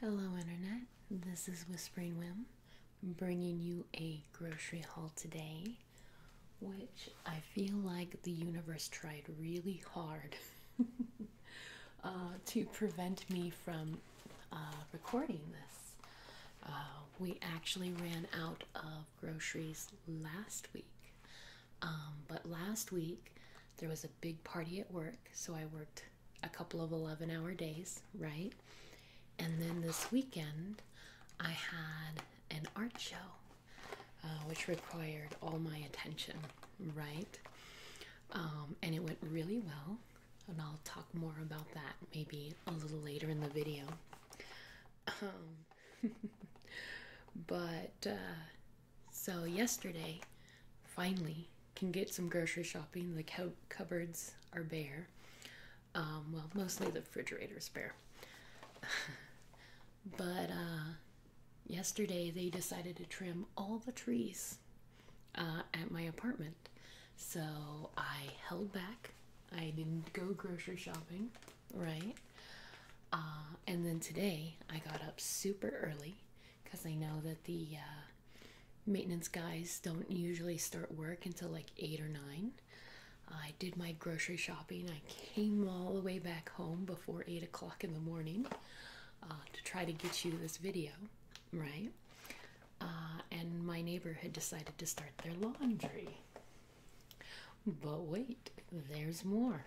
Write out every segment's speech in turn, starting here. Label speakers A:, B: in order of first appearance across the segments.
A: Hello, Internet. This is Whispering Whim bringing you a grocery haul today, which I feel like the universe tried really hard uh, to prevent me from uh, recording this. Uh, we actually ran out of groceries last week, um, but last week there was a big party at work, so I worked a couple of 11 hour days, right? And then this weekend, I had an art show, uh, which required all my attention, right? Um, and it went really well. And I'll talk more about that maybe a little later in the video. Um, but uh, so yesterday, finally, can get some grocery shopping. The cu cupboards are bare. Um, well, mostly the refrigerator is bare. but uh, yesterday they decided to trim all the trees uh, at my apartment. So I held back. I didn't go grocery shopping, right? Uh, and then today I got up super early because I know that the uh, maintenance guys don't usually start work until like 8 or 9. I did my grocery shopping. I came all the way back home before 8 o'clock in the morning uh, to try to get you this video, right? Uh, and my neighbor had decided to start their laundry. But wait, there's more.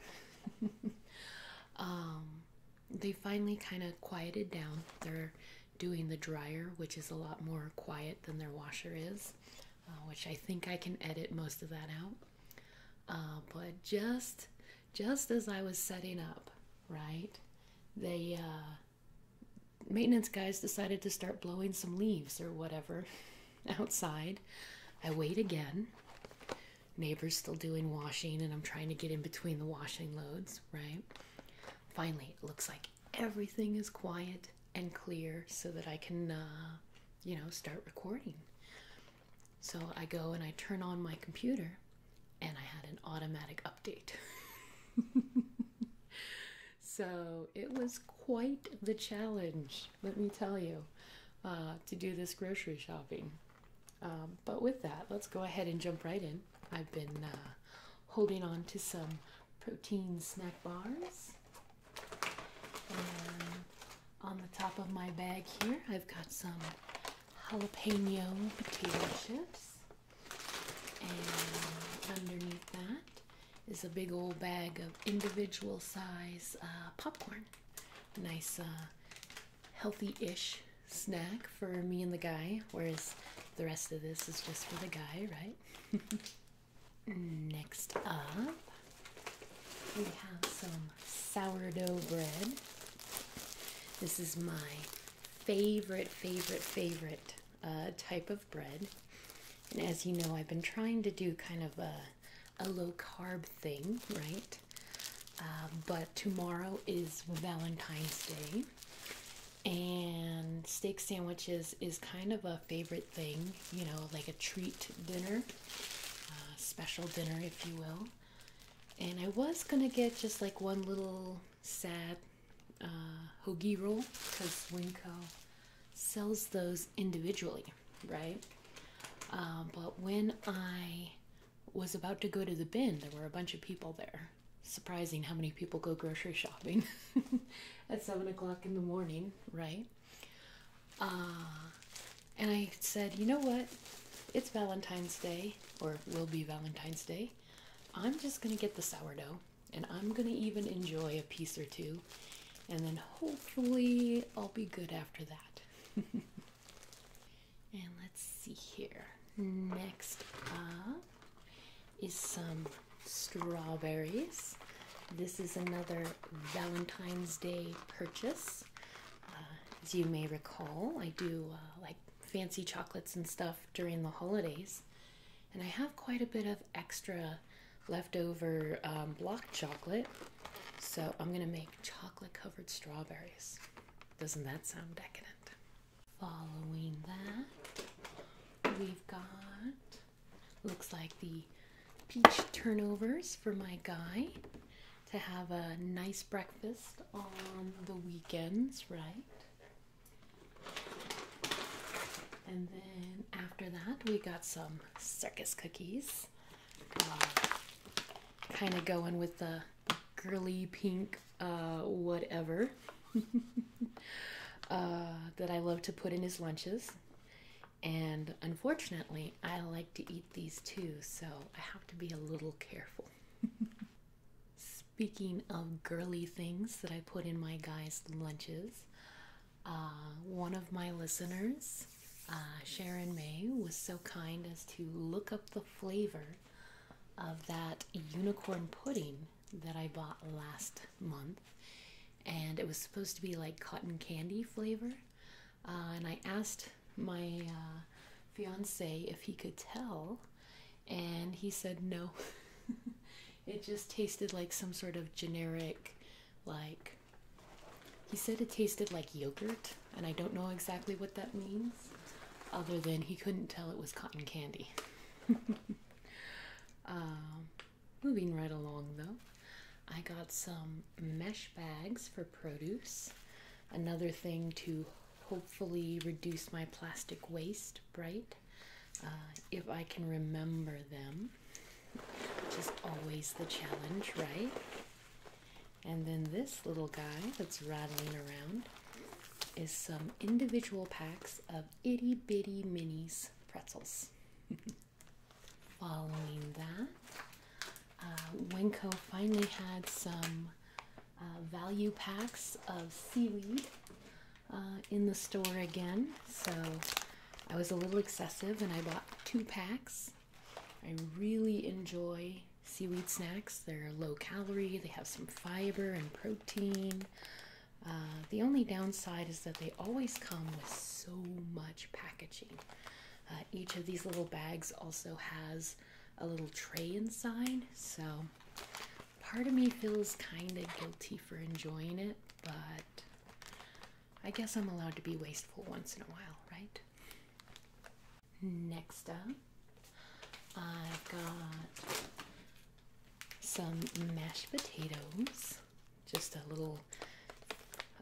A: Um, they finally kind of quieted down. They're doing the dryer, which is a lot more quiet than their washer is, uh, which I think I can edit most of that out. Uh, but just just as I was setting up, right, the uh, maintenance guys decided to start blowing some leaves or whatever outside. I wait again. Neighbor's still doing washing, and I'm trying to get in between the washing loads right? Finally, it looks like everything is quiet and clear so that I can, uh, you know, start recording. So I go and I turn on my computer and I had an automatic update. so it was quite the challenge, let me tell you, uh, to do this grocery shopping. Um, but with that, let's go ahead and jump right in. I've been uh, holding on to some protein snack bars. on the top of my bag here, I've got some jalapeno potato chips. And underneath that is a big old bag of individual size uh, popcorn. Nice uh, healthy-ish snack for me and the guy, whereas the rest of this is just for the guy, right? Next up, we have some sourdough bread. This is my favorite, favorite, favorite uh, type of bread. And as you know, I've been trying to do kind of a, a low carb thing, right? Uh, but tomorrow is Valentine's Day, and steak sandwiches is kind of a favorite thing, you know, like a treat dinner, uh, special dinner, if you will. And I was gonna get just like one little sad uh, hoagie roll because Winco sells those individually, right? Uh, but when I was about to go to the bin. There were a bunch of people there. Surprising how many people go grocery shopping at seven o'clock in the morning, right? Uh, and I said, you know what? It's Valentine's Day, or will be Valentine's Day. I'm just going to get the sourdough and I'm going to even enjoy a piece or two. And then hopefully I'll be good after that. And let's see here. Next up is some strawberries. This is another Valentine's Day purchase. Uh, as you may recall, I do uh, like fancy chocolates and stuff during the holidays. And I have quite a bit of extra leftover um, block chocolate. So I'm going to make chocolate covered strawberries. Doesn't that sound decadent? Following that, we've got looks like the peach turnovers for my guy to have a nice breakfast on the weekends, right? And then after that, we got some circus cookies. kind of going with the girly pink uh, whatever uh, that I love to put in his lunches. And unfortunately, I like to eat these too, so I have to be a little careful. Speaking of girly things that I put in my guys' lunches, uh, one of my listeners, uh, Sharon May, was so kind as to look up the flavor of that unicorn pudding that I bought last month, and it was supposed to be like cotton candy flavor. Uh, and I asked my uh, fiance if he could tell, and he said no. it just tasted like some sort of generic, like, he said it tasted like yogurt, and I don't know exactly what that means other than he couldn't tell it was cotton candy. Um, moving right along though, I got some mesh bags for produce. Another thing to hopefully reduce my plastic waste, right? Uh, if I can remember them, which is always the challenge, right? And then this little guy that's rattling around is some individual packs of itty bitty minis pretzels. Following that, uh, finally had some uh, value packs of seaweed uh, in the store again. So I was a little excessive and I bought two packs. I really enjoy seaweed snacks. They're low calorie, they have some fiber and protein. Uh, the only downside is that they always come with so much packaging. Uh, each of these little bags also has a little tray inside, so part of me feels kind of guilty for enjoying it, but I guess I'm allowed to be wasteful once in a while, right? Next up, I've got some mashed potatoes, just a little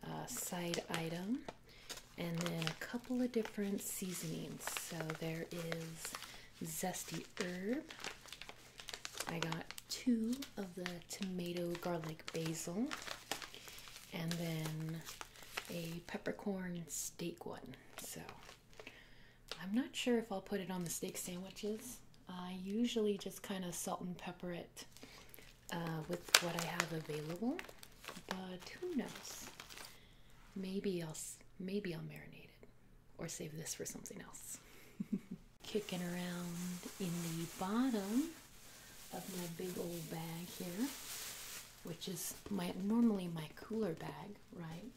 A: uh, side item, and then a couple of different seasonings. So there is zesty herb. I got two of the tomato garlic basil, and then a peppercorn steak one. So I'm not sure if I'll put it on the steak sandwiches. I usually just kind of salt and pepper it uh, with what I have available, but who knows? Maybe I'll maybe I'll marinate it or save this for something else. Kicking around in the bottom of my big old bag here, which is my normally my cooler bag, right?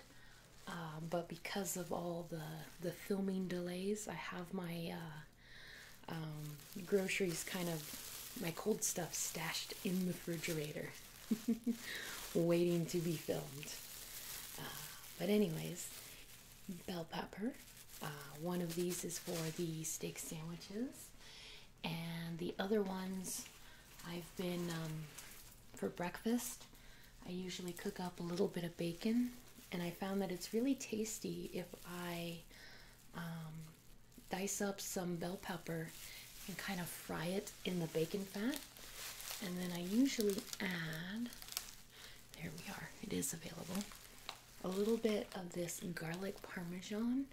A: Um, but because of all the the filming delays, I have my uh, um, groceries kind of my cold stuff stashed in the refrigerator, waiting to be filmed. Uh, but anyways, bell pepper. Uh, one of these is for the steak sandwiches, and the other ones I've been um, for breakfast, I usually cook up a little bit of bacon, and I found that it's really tasty if I um, dice up some bell pepper and kind of fry it in the bacon fat. And then I usually add, there we are, it is available, a little bit of this garlic parmesan,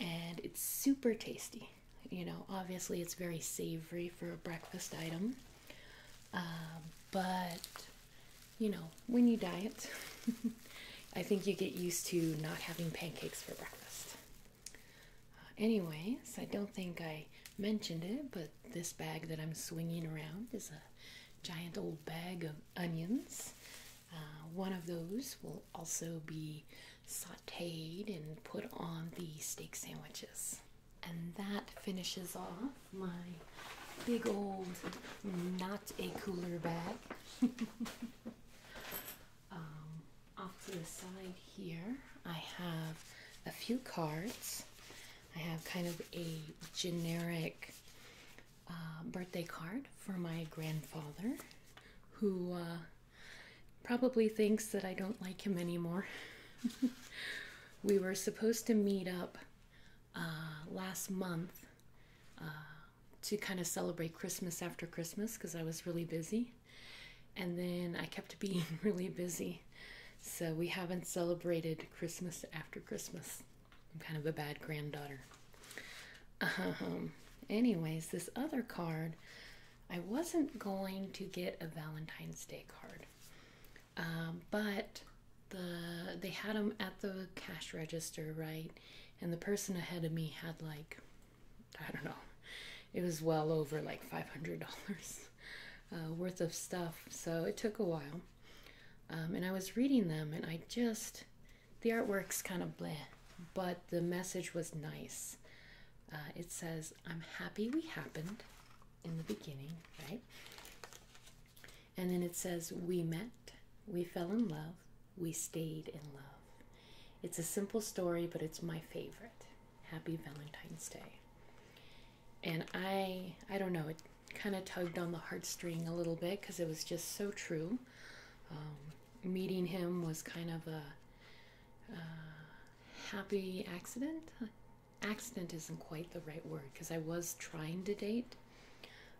A: and it's super tasty. You know, obviously it's very savory for a breakfast item, um, but you know, when you diet, I think you get used to not having pancakes for breakfast. Uh, anyways, I don't think I mentioned it, but this bag that I'm swinging around is a giant old bag of onions. Uh, one of those will also be sauteed and put on the steak sandwiches. And that finishes off my big old not a cooler bag. Um, off to the side here, I have a few cards. I have kind of a generic uh, birthday card for my grandfather who uh, Probably thinks that I don't like him anymore. we were supposed to meet up uh, last month uh, to kind of celebrate Christmas after Christmas because I was really busy. And then I kept being really busy. So we haven't celebrated Christmas after Christmas. I'm kind of a bad granddaughter. Um, anyways, this other card I wasn't going to get a Valentine's Day card, um, but the they had them at the cash register, right? And the person ahead of me had like, I don't know, it was well over like five hundred dollars uh, worth of stuff. So it took a while, um, and I was reading them, and I just the artwork's kind of bleh, but the message was nice. Uh, it says, I'm happy we happened in the beginning, right? And then it says, We met, we fell in love, we stayed in love. It's a simple story, but it's my favorite. Happy Valentine's Day. And I, I don't know, it kind of tugged on the heartstring a little bit because it was just so true. Um, meeting him was kind of a uh, happy accident. Accident isn't quite the right word because I was trying to date,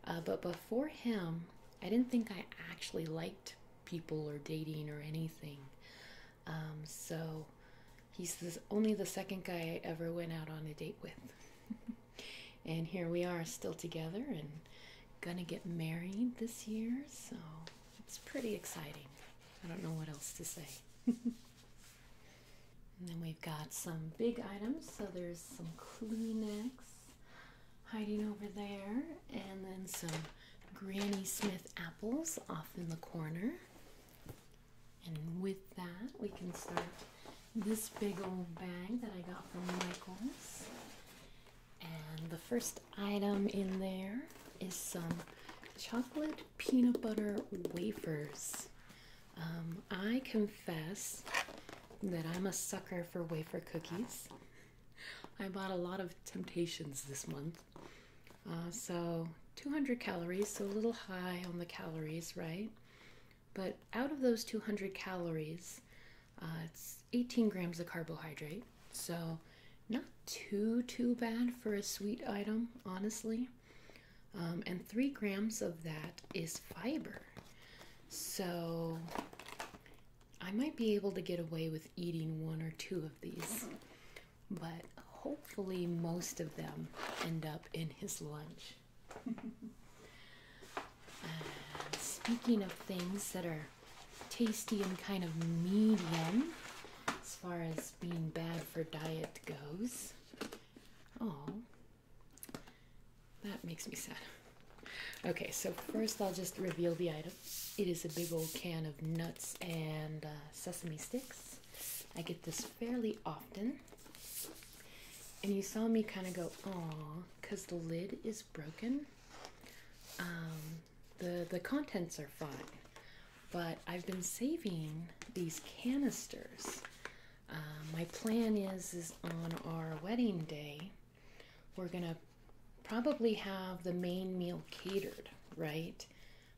A: uh, but before him, I didn't think I actually liked people or dating or anything. Um, so he's only the second guy I ever went out on a date with. and here we are still together and gonna get married this year, so it's pretty exciting. I don't know what else to say. and then we've got some big items. So there's some Kleenex hiding over there, and then some Granny Smith apples off in the corner. And with that, we can start this big old bag that I got from Michaels. And the first item in there is some chocolate peanut butter wafers. Um, I confess that I'm a sucker for wafer cookies. I bought a lot of Temptations this month. Uh, so 200 calories, so a little high on the calories, right? But out of those 200 calories, uh, it's 18 grams of carbohydrate, so, not too, too bad for a sweet item, honestly. Um, and three grams of that is fiber. So, I might be able to get away with eating one or two of these, but hopefully, most of them end up in his lunch. Uh, speaking of things that are tasty and kind of medium as far as being bad for diet goes. Oh, that makes me sad. Okay, so first I'll just reveal the item. It is a big old can of nuts and uh, sesame sticks. I get this fairly often. And you saw me kind of go, aw, because the lid is broken. Um, the the contents are fine, but I've been saving these canisters. Uh, my plan is is on our wedding day, we're gonna probably have the main meal catered, right?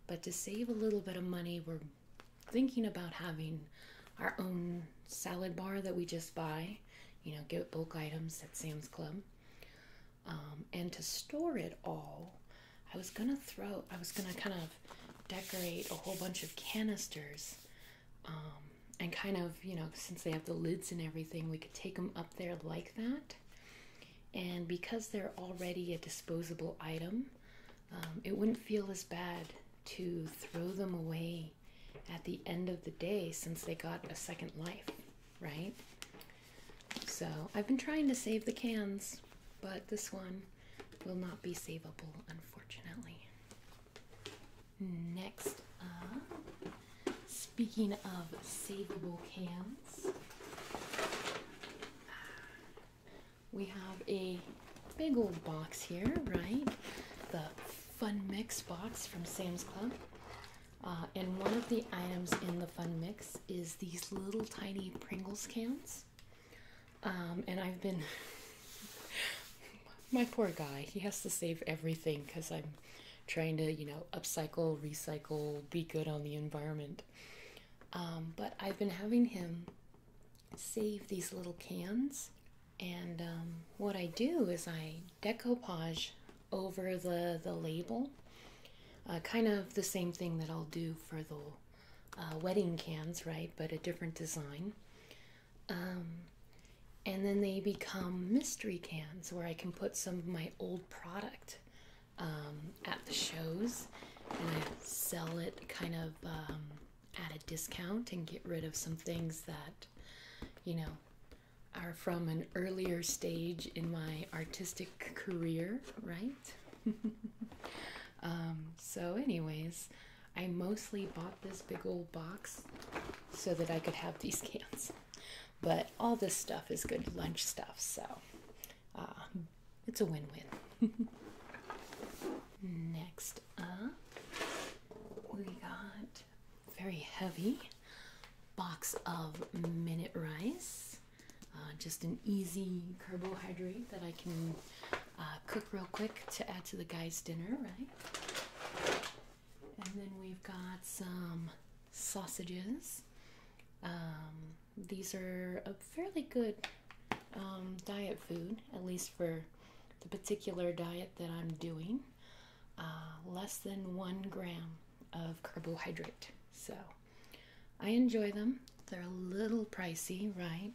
A: But to save a little bit of money, we're thinking about having our own salad bar that we just buy. You know, get bulk items at Sam's Club. Um, and to store it all, I was gonna throw, I was gonna kind of decorate a whole bunch of canisters. Um, and kind of, you know, since they have the lids and everything, we could take them up there like that. And because they're already a disposable item, um, it wouldn't feel as bad to throw them away at the end of the day since they got a second life right? So I've been trying to save the cans, but this one will not be savable, unfortunately. Next speaking of savable cans, we have a big old box here, right? The Fun Mix box from Sam's Club. Uh, and one of the items in the fun mix is these little tiny Pringles cans. Um, and I've been, my poor guy, he has to save everything because I'm trying to, you know, upcycle, recycle, be good on the environment. Um, but I've been having him save these little cans. And um, what I do is I decoupage over the, the label uh, kind of the same thing that I'll do for the uh, wedding cans, right? But a different design. Um, and then they become mystery cans where I can put some of my old product um, at the shows and I sell it kind of um, at a discount and get rid of some things that, you know, are from an earlier stage in my artistic career, right? Um, so, anyways, I mostly bought this big old box so that I could have these cans. But all this stuff is good lunch stuff, so uh, it's a win win. Next up, we got very heavy box of minute rice uh, just an easy carbohydrate that I can uh, cook real quick to add to the guys' dinner, right? And then we've got some sausages. Um, these are a fairly good um, diet food, at least for the particular diet that I'm doing. Uh, less than one gram of carbohydrate. So I enjoy them. They're a little pricey, right?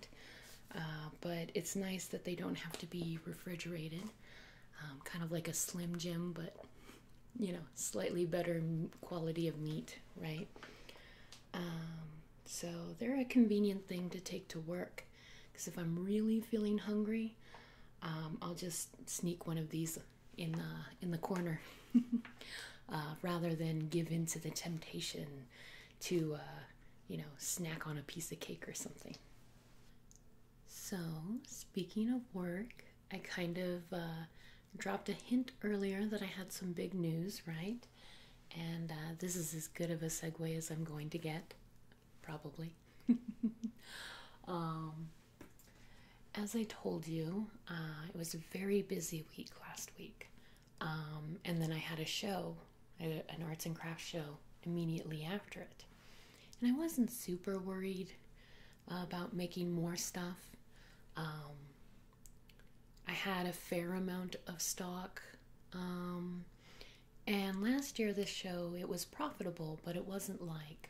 A: Uh, but it's nice that they don't have to be refrigerated. Um, kind of like a Slim Jim, but you know, slightly better quality of meat, right? Um, so they're a convenient thing to take to work because if I'm really feeling hungry, um, I'll just sneak one of these in the uh, in the corner uh, rather than give in to the temptation to uh, you know snack on a piece of cake or something so speaking of work i kind of dropped a hint earlier that i had some big news right and this is as good of a segue as i'm going to get probably um, as I told you, uh, it was a very busy week last week. Um, and then I had a show, an arts and crafts show, immediately after it. And I wasn't super worried about making more stuff. Um, I had a fair amount of stock. Um, and last year, this show, it was profitable, but it wasn't like,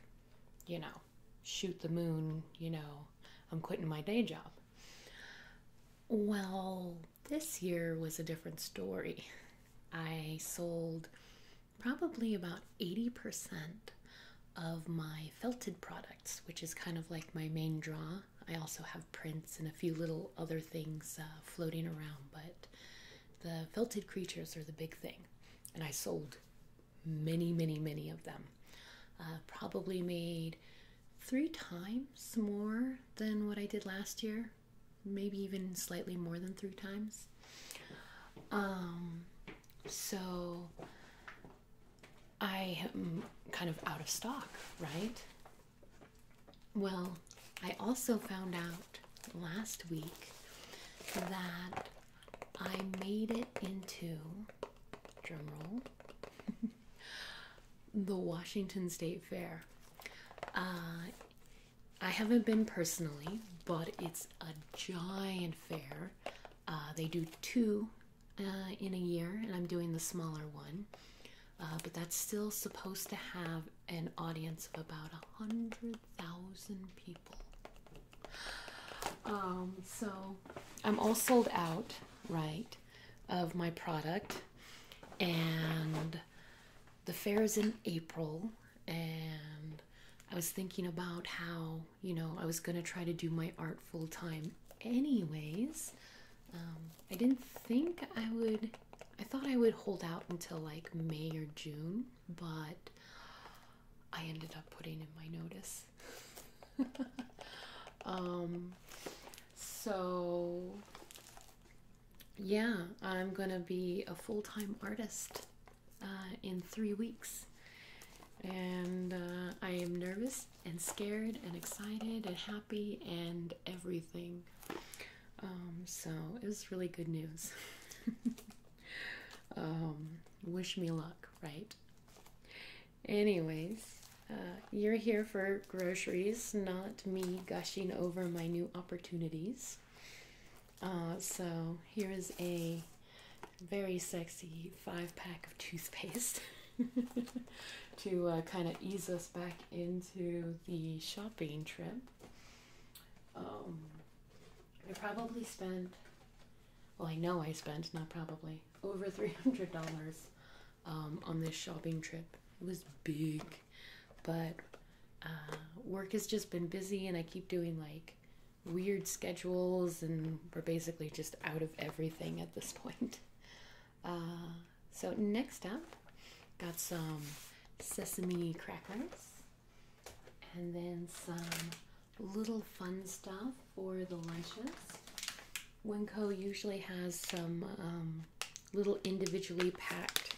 A: you know, shoot the moon, you know, I'm quitting my day job. Well, this year was a different story. I sold probably about 80% of my felted products, which is kind of like my main draw. I also have prints and a few little other things uh, floating around, but the felted creatures are the big thing. And I sold many, many, many of them. Uh, probably made three times more than what I did last year, maybe even slightly more than three times. Um, so I am kind of out of stock, right? Well, I also found out last week that I made it into drumroll the Washington State Fair. Uh, I haven't been personally, but it's a giant fair. Uh, they do two uh, in a year, and I'm doing the smaller one. but that's still supposed to have an audience of about a hundred thousand people. Um, so I'm all sold out, right, of my product, and the fair is in April, and I was thinking about how you know I was gonna try to do my art full time, anyways. Um, I didn't think I would. I thought I would hold out until like May or June, but I ended up putting in my notice. Um, so, yeah, I'm gonna be a full time artist uh, in three weeks. And uh, I am nervous and scared and excited and happy and everything. Um, so it was really good news. Um, wish me luck, right? Anyways, uh, you're here for groceries, not me gushing over my new opportunities. Uh, so, here is a very sexy five pack of toothpaste to uh, kind of ease us back into the shopping trip. Um, I probably spent, well, I know I spent, not probably, over $300 um, on this shopping trip. It was big, but uh, work has just been busy, and I keep doing like weird schedules, and we're basically just out of everything at this point. Uh, so, next up, got some sesame crackers and then some little fun stuff for the lunches. Winco usually has some um, little individually packed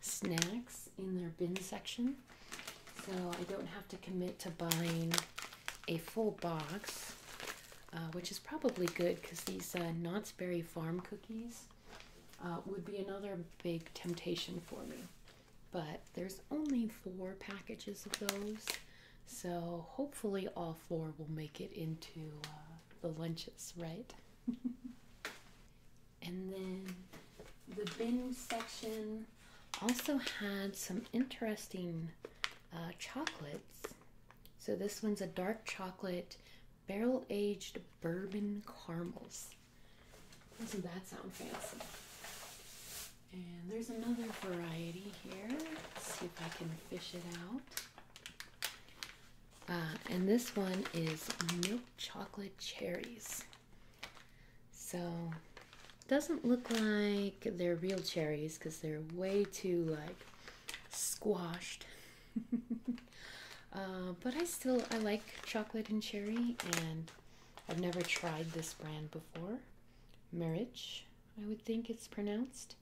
A: snacks in their bin section, so I don't have to commit to buying a full box, uh, which is probably good because these uh, Knott's Berry Farm cookies uh, would be another big temptation for me. But there's only four packages of those, so hopefully, all four will make it into uh, the lunches, right? and then the bin section also had some interesting uh, chocolates. So this one's a dark chocolate barrel aged bourbon caramels. Doesn't that sound fancy? And there's another variety here. see if I can fish it out. Uh, and this one is milk chocolate cherries. So doesn't look like they're real cherries because they're way too like squashed. Uh, but I still I like chocolate and cherry, and I've never tried this brand before. Marriage I would think it's pronounced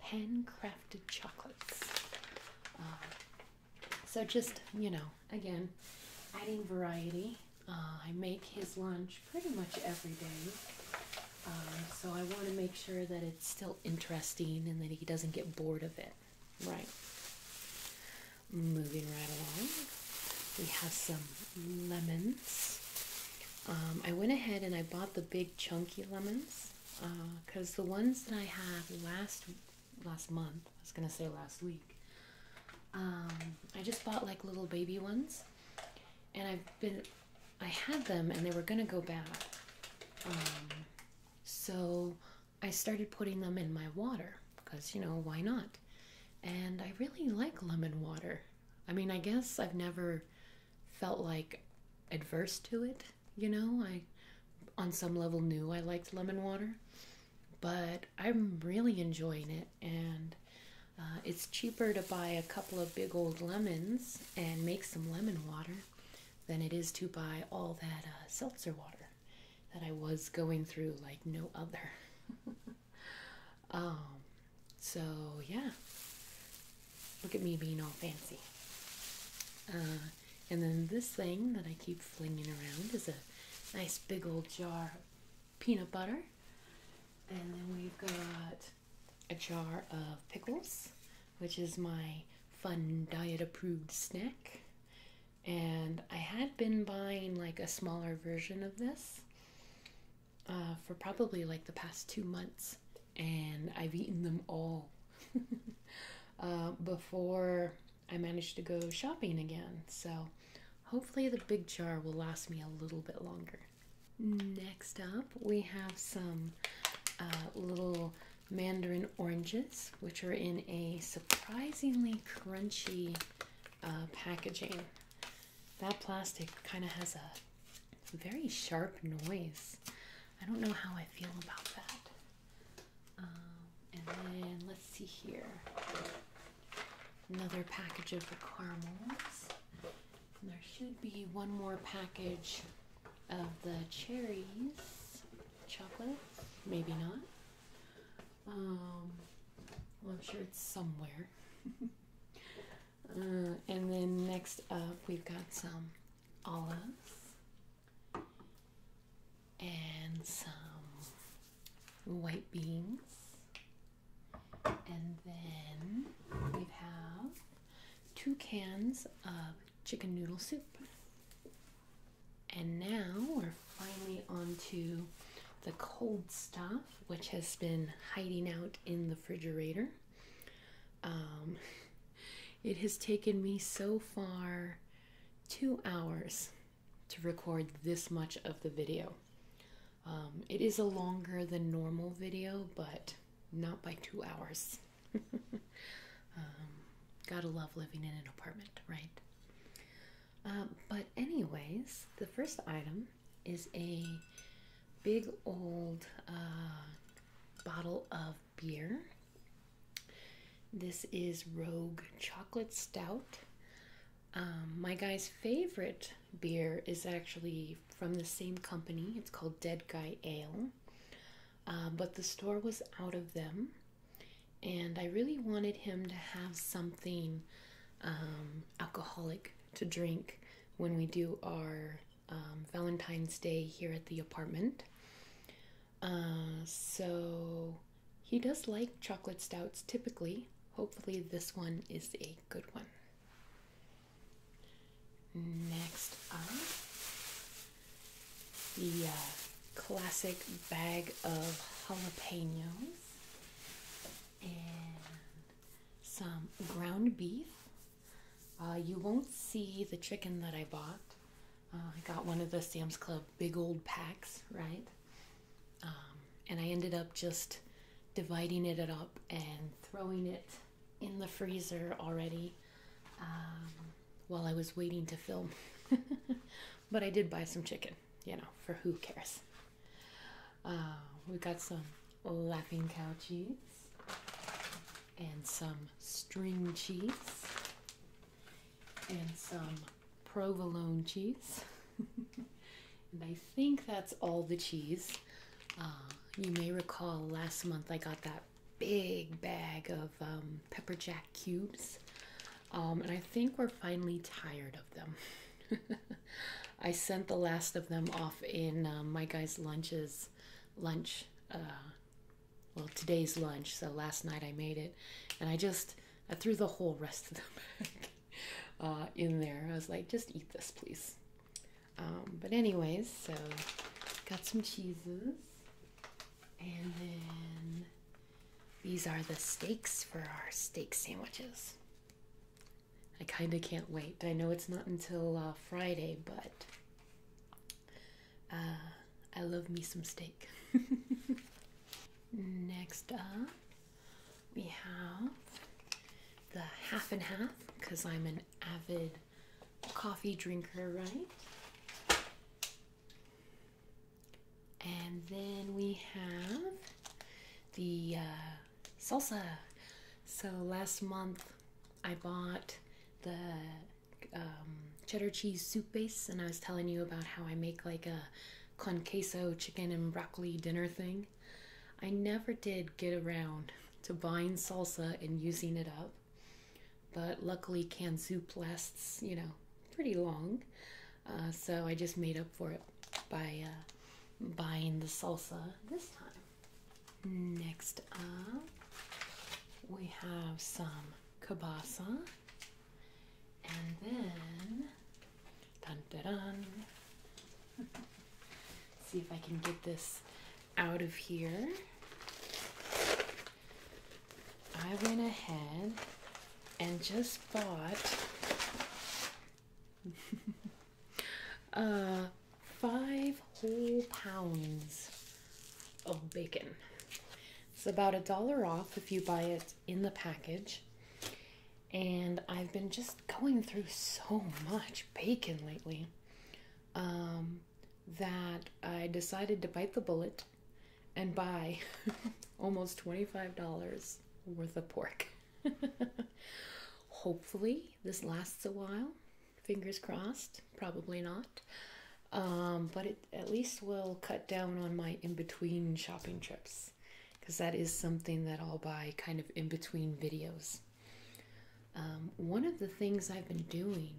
A: pen crafted chocolates. Uh, so, just you know, again, adding variety. Uh, I make his lunch pretty much every day, um, so I want to make sure that it's still interesting and that he doesn't get bored of it. Right. Moving right along, we have some lemons. Um, I went ahead and I bought the big chunky lemons because uh, the ones that I had last last month, I was gonna say last week, um, I just bought like little baby ones, and I've been I had them and they were gonna go bad, um, so I started putting them in my water because you know why not, and I really like lemon water. I mean, I guess I've never felt like adverse to it, you know? I on some level knew I liked lemon water, but I'm really enjoying it and uh, it's cheaper to buy a couple of big old lemons and make some lemon water than it is to buy all that uh, seltzer water that I was going through like no other. um, so yeah, look at me being all fancy. Uh, and then this thing that I keep flinging around is a nice big old jar peanut butter. And then we've got a jar of pickles, which is my fun diet approved snack. And I had been buying like a smaller version of this uh, for probably like the past two months, and I've eaten them all uh, before I managed to go shopping again. So hopefully, the big jar will last me a little bit longer. Next up, we have some uh, little mandarin oranges, which are in a surprisingly crunchy packaging. That plastic kind of has a very sharp noise. I don't know how I feel about that. Um, and then let's see here. Another package of the caramels. there should be one more package of the cherries, chocolate, maybe not. Um, well, I'm sure it's somewhere. Uh, and then next up, we've got some olives and some white beans. And then we have two cans of chicken noodle soup. And now we're finally on to the cold stuff which has been hiding out in the refrigerator. Um, it has taken me so far two hours to record this much of the video. Um, it is a longer than normal video, but not by two hours. Um, gotta love living in an apartment, right? but anyways, the first item is a big old uh, bottle of beer. This is Rogue Chocolate Stout. Um, my guy's favorite beer is actually from the same company. It's called Dead Guy Ale. Uh, but the store was out of them, and I really wanted him to have something um, alcoholic to drink when we do our um, Valentine's Day here at the apartment. Uh, so he does like chocolate stouts typically. Hopefully, this one is a good one. Next up, the uh, classic bag of jalapenos. And some ground beef. Uh, you won't see the chicken that I bought. Uh, I got one of the Sam's Club big old packs, right? Um, and I ended up just dividing it up and throwing it in the freezer already um, while I was waiting to film. but I did buy some chicken, you know, for who cares. Uh, we got some laughing cow cheese and some string cheese and some provolone cheese. and I think that's all the cheese. Uh, you may recall last month I got that big bag of um, pepper jack cubes. Um, and I think we're finally tired of them. I sent the last of them off in um, my guy's lunches, lunch. Uh, well, today's lunch. So last night I made it, and I just I threw the whole rest of them uh, in there. I was like, just eat this, please. Um, but anyways, so got some cheeses, and then these are the steaks for our steak sandwiches. I kind of can't wait. I know it's not until uh, Friday, but uh, I love me some steak. Next up, we have the half and half because I'm an avid coffee drinker, right? And then we have the uh, salsa. So last month I bought the um, cheddar cheese soup base, and I was telling you about how I make like a con queso chicken and broccoli dinner thing. I never did get around to buying salsa and using it up, but luckily canned soup lasts, you know, pretty long. Uh, so I just made up for it by uh, buying the salsa this time. Next up, we have some kielbasa, and then dun dun See if I can get this out of here. I went ahead and just bought Uh, five whole pounds of bacon. It's about a dollar off if you buy it in the package. And I've been just going through so much bacon lately um, that I decided to bite the bullet and buy almost $25 worth of pork. Hopefully, this lasts a while. Fingers crossed. Probably not. Um, but it at least will cut down on my in between shopping trips because that is something that I'll buy kind of in between videos. Um, one of the things I've been doing,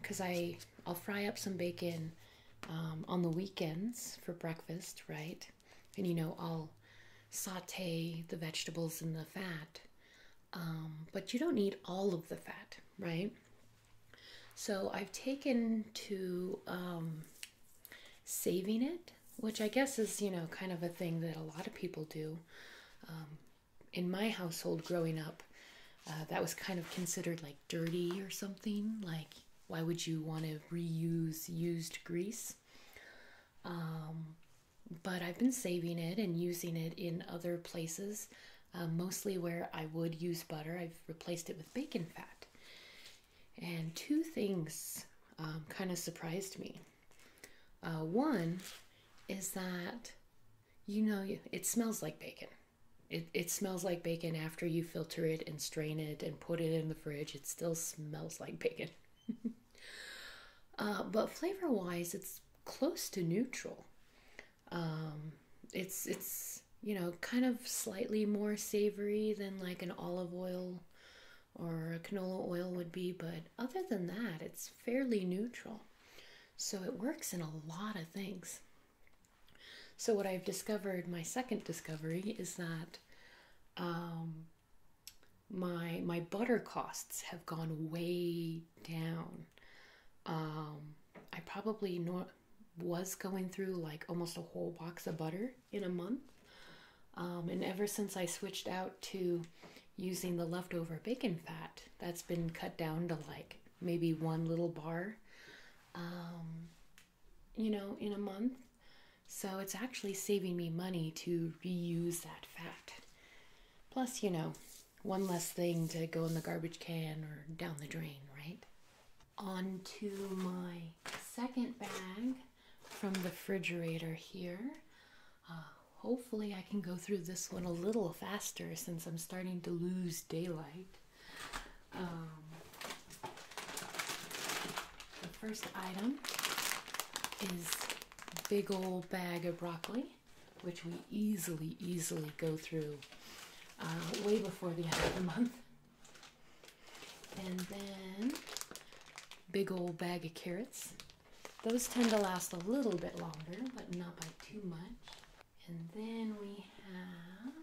A: because um, I I'll fry up some bacon on the weekends for breakfast, right? and you know I'll saute the vegetables in the fat, um, but you don't need all of the fat, right? So I've taken to um, saving it, which I guess is you know kind of a thing that a lot of people do. Um, in my household growing up, uh, that was kind of considered like dirty or something. Like, why would you want to reuse used grease? but I've been saving it and using it in other places, uh, mostly where I would use butter. I've replaced it with bacon fat. And two things um, kind of surprised me. Uh, one is that, you know, it smells like bacon. It, it smells like bacon after you filter it and strain it and put it in the fridge. It still smells like bacon. Uh, but flavor wise, it's close to neutral. Um, it's it's you know kind of slightly more savory than like an olive oil or a canola oil would be, but other than that, it's fairly neutral. So it works in a lot of things. So what I've discovered, my second discovery, is that um, my my butter costs have gone way down. Um, I probably nor was going through like almost a whole box of butter in a month. Um, and ever since I switched out to using the leftover bacon fat, that's been cut down to like maybe one little bar, um, you know, in a month. So it's actually saving me money to reuse that fat. Plus, you know, one less thing to go in the garbage can or down the drain, right? On to my second bag from the refrigerator here. Uh, hopefully, I can go through this one a little faster since I'm starting to lose daylight. Um, the first item is big old bag of broccoli, which we easily, easily go through uh, way before the end of the month. And then big old bag of carrots. Those tend to last a little bit longer, but not by too much. And then we have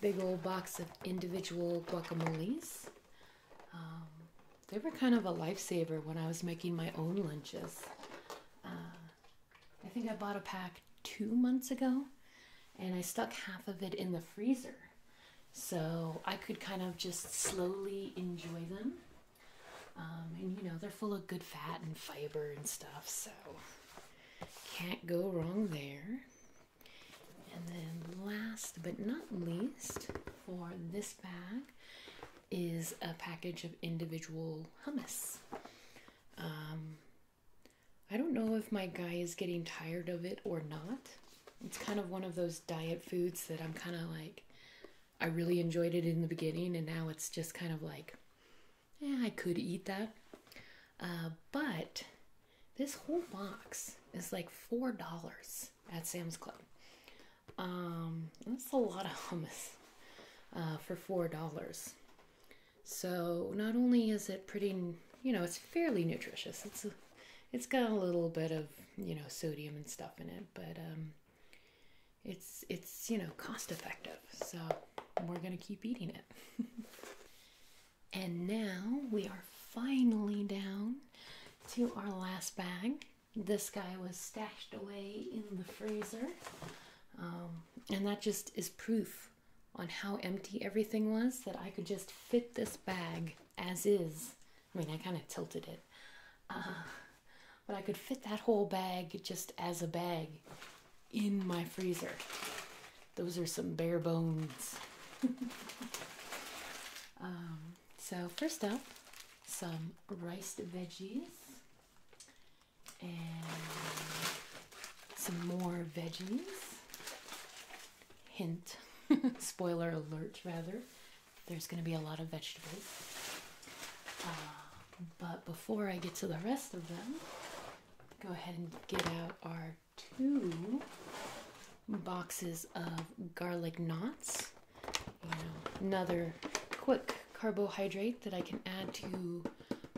A: big old box of individual guacamoles. Um, they were kind of a lifesaver when I was making my own lunches. Uh, I think I bought a pack two months ago and I stuck half of it in the freezer. So I could kind of just slowly enjoy them. Um, and you know, they're full of good fat and fiber and stuff, so can't go wrong there. And then, last but not least, for this bag is a package of individual hummus. Um, I don't know if my guy is getting tired of it or not. It's kind of one of those diet foods that I'm kind of like, I really enjoyed it in the beginning, and now it's just kind of like, yeah, I could eat that. Uh, but this whole box is like $4 at Sam's Club. Um, that's a lot of hummus uh, for $4. So not only is it pretty, you know, it's fairly nutritious. It's it's got a little bit of you know sodium and stuff in it, but um, it's it's you know cost effective. So we're gonna keep eating it. And now we are finally down to our last bag. This guy was stashed away in the freezer. Um, and that just is proof on how empty everything was that I could just fit this bag as is. I mean, I kind of tilted it. Uh, but I could fit that whole bag just as a bag in my freezer those are some bare bones. Um, so, first up, some rice veggies and some more veggies. Hint, spoiler alert, rather, there's going to be a lot of vegetables. Uh, but before I get to the rest of them, go ahead and get out our two boxes of garlic knots. another quick carbohydrate that I can add to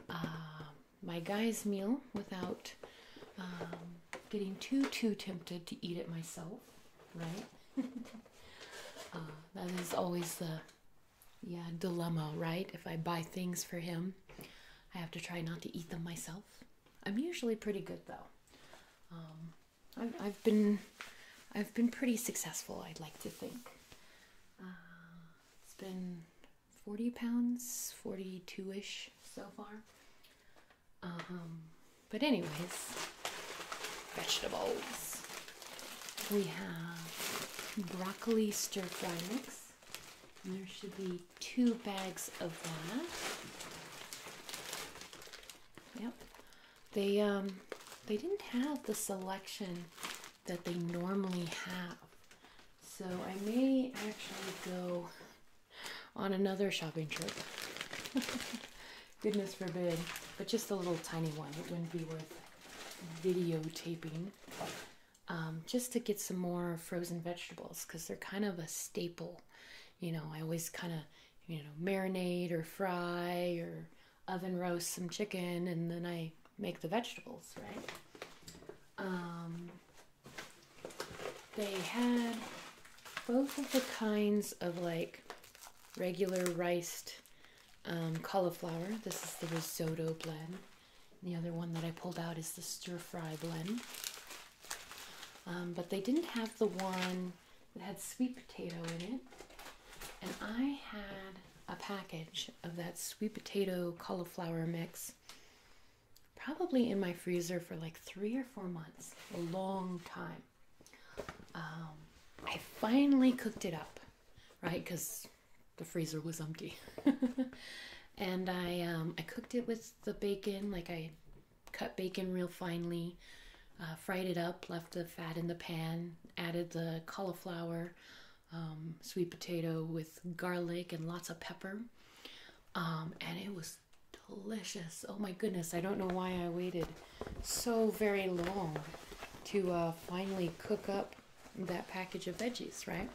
A: uh, my guy's meal without um, getting too too tempted to eat it myself, right? Uh, that is always the yeah dilemma, right? If I buy things for him, I have to try not to eat them myself. I'm usually pretty good though. Um, I've, I've been I've been pretty successful. I'd like to think. Uh, it's been 40 pounds, 42 ish so far. Um, but anyways, vegetables. We have broccoli stir fry mix. there should be two bags of that. Yep. They um they didn't have the selection that they normally have. So I may actually go on another shopping trip. Goodness forbid. But just a little tiny one. It wouldn't be worth videotaping. Um, just to get some more frozen vegetables because they're kind of a staple you know, I always kind of, you know, marinate or fry or oven roast some chicken and then I make the vegetables, right? Um, they had both of the kinds of like regular riced um, cauliflower. This is the risotto blend. the other one that I pulled out is the stir fry blend. Um, but they didn't have the one that had sweet potato in it. And I had a package of that sweet potato cauliflower mix probably in my freezer for like three or four months, a long time. Um, I finally cooked it up, right? Because the freezer was empty. and I, um, I cooked it with the bacon like I cut bacon real finely, uh, fried it up, left the fat in the pan, added the cauliflower, um, sweet potato with garlic and lots of pepper. Um, and it was delicious. Oh my goodness, I don't know why I waited so very long to uh, finally cook up that package of veggies, right?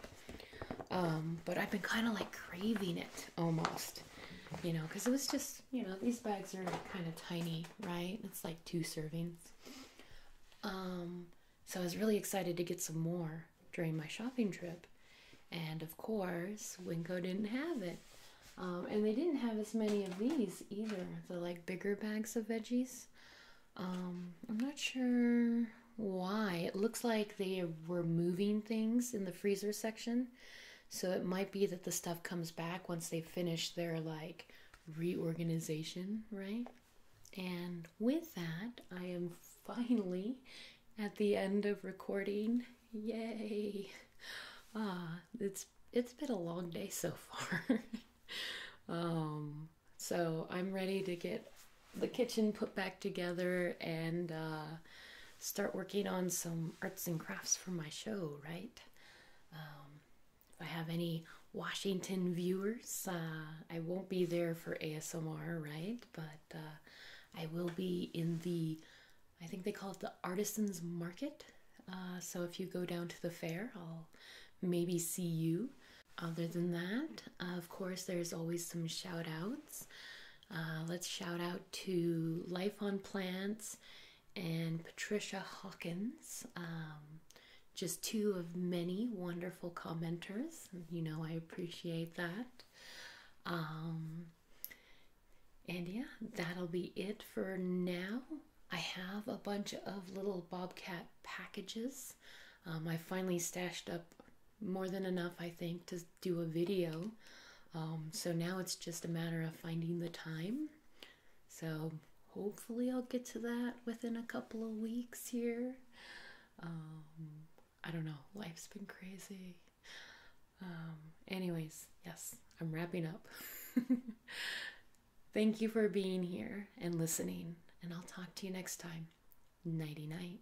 A: Um, but I've been kind of like craving it almost you know, because it was just, you know, these bags are kind of tiny, right? It's like two servings. Um, so I was really excited to get some more during my shopping trip. And of course, Winco didn't have it. Um, and they didn't have as many of these either, the like bigger bags of veggies. Um, I'm not sure why. It looks like they were moving things in the freezer section. So it might be that the stuff comes back once they finish their like reorganization, right? And with that, I am finally at the end of recording. Yay! Ah, it's it's been a long day so far. um, so I'm ready to get the kitchen put back together and uh start working on some arts and crafts for my show, right? Um, if I have any Washington viewers, uh, I won't be there for ASMR, right? But uh, I will be in the, I think they call it the Artisans Market. Uh, so if you go down to the fair, I'll maybe see you. Other than that, of course, there's always some shout outs. Uh, let's shout out to Life on Plants and Patricia Hawkins. Um, just two of many wonderful commenters. You know, I appreciate that. Um, and yeah, that'll be it for now. I have a bunch of little bobcat packages. Um, I finally stashed up more than enough, I think, to do a video. Um, so now it's just a matter of finding the time. So hopefully, I'll get to that within a couple of weeks here. Um, I don't know, life's been crazy. Um, anyways, yes, I'm wrapping up. Thank you for being here and listening, and I'll talk to you next time. Nighty night.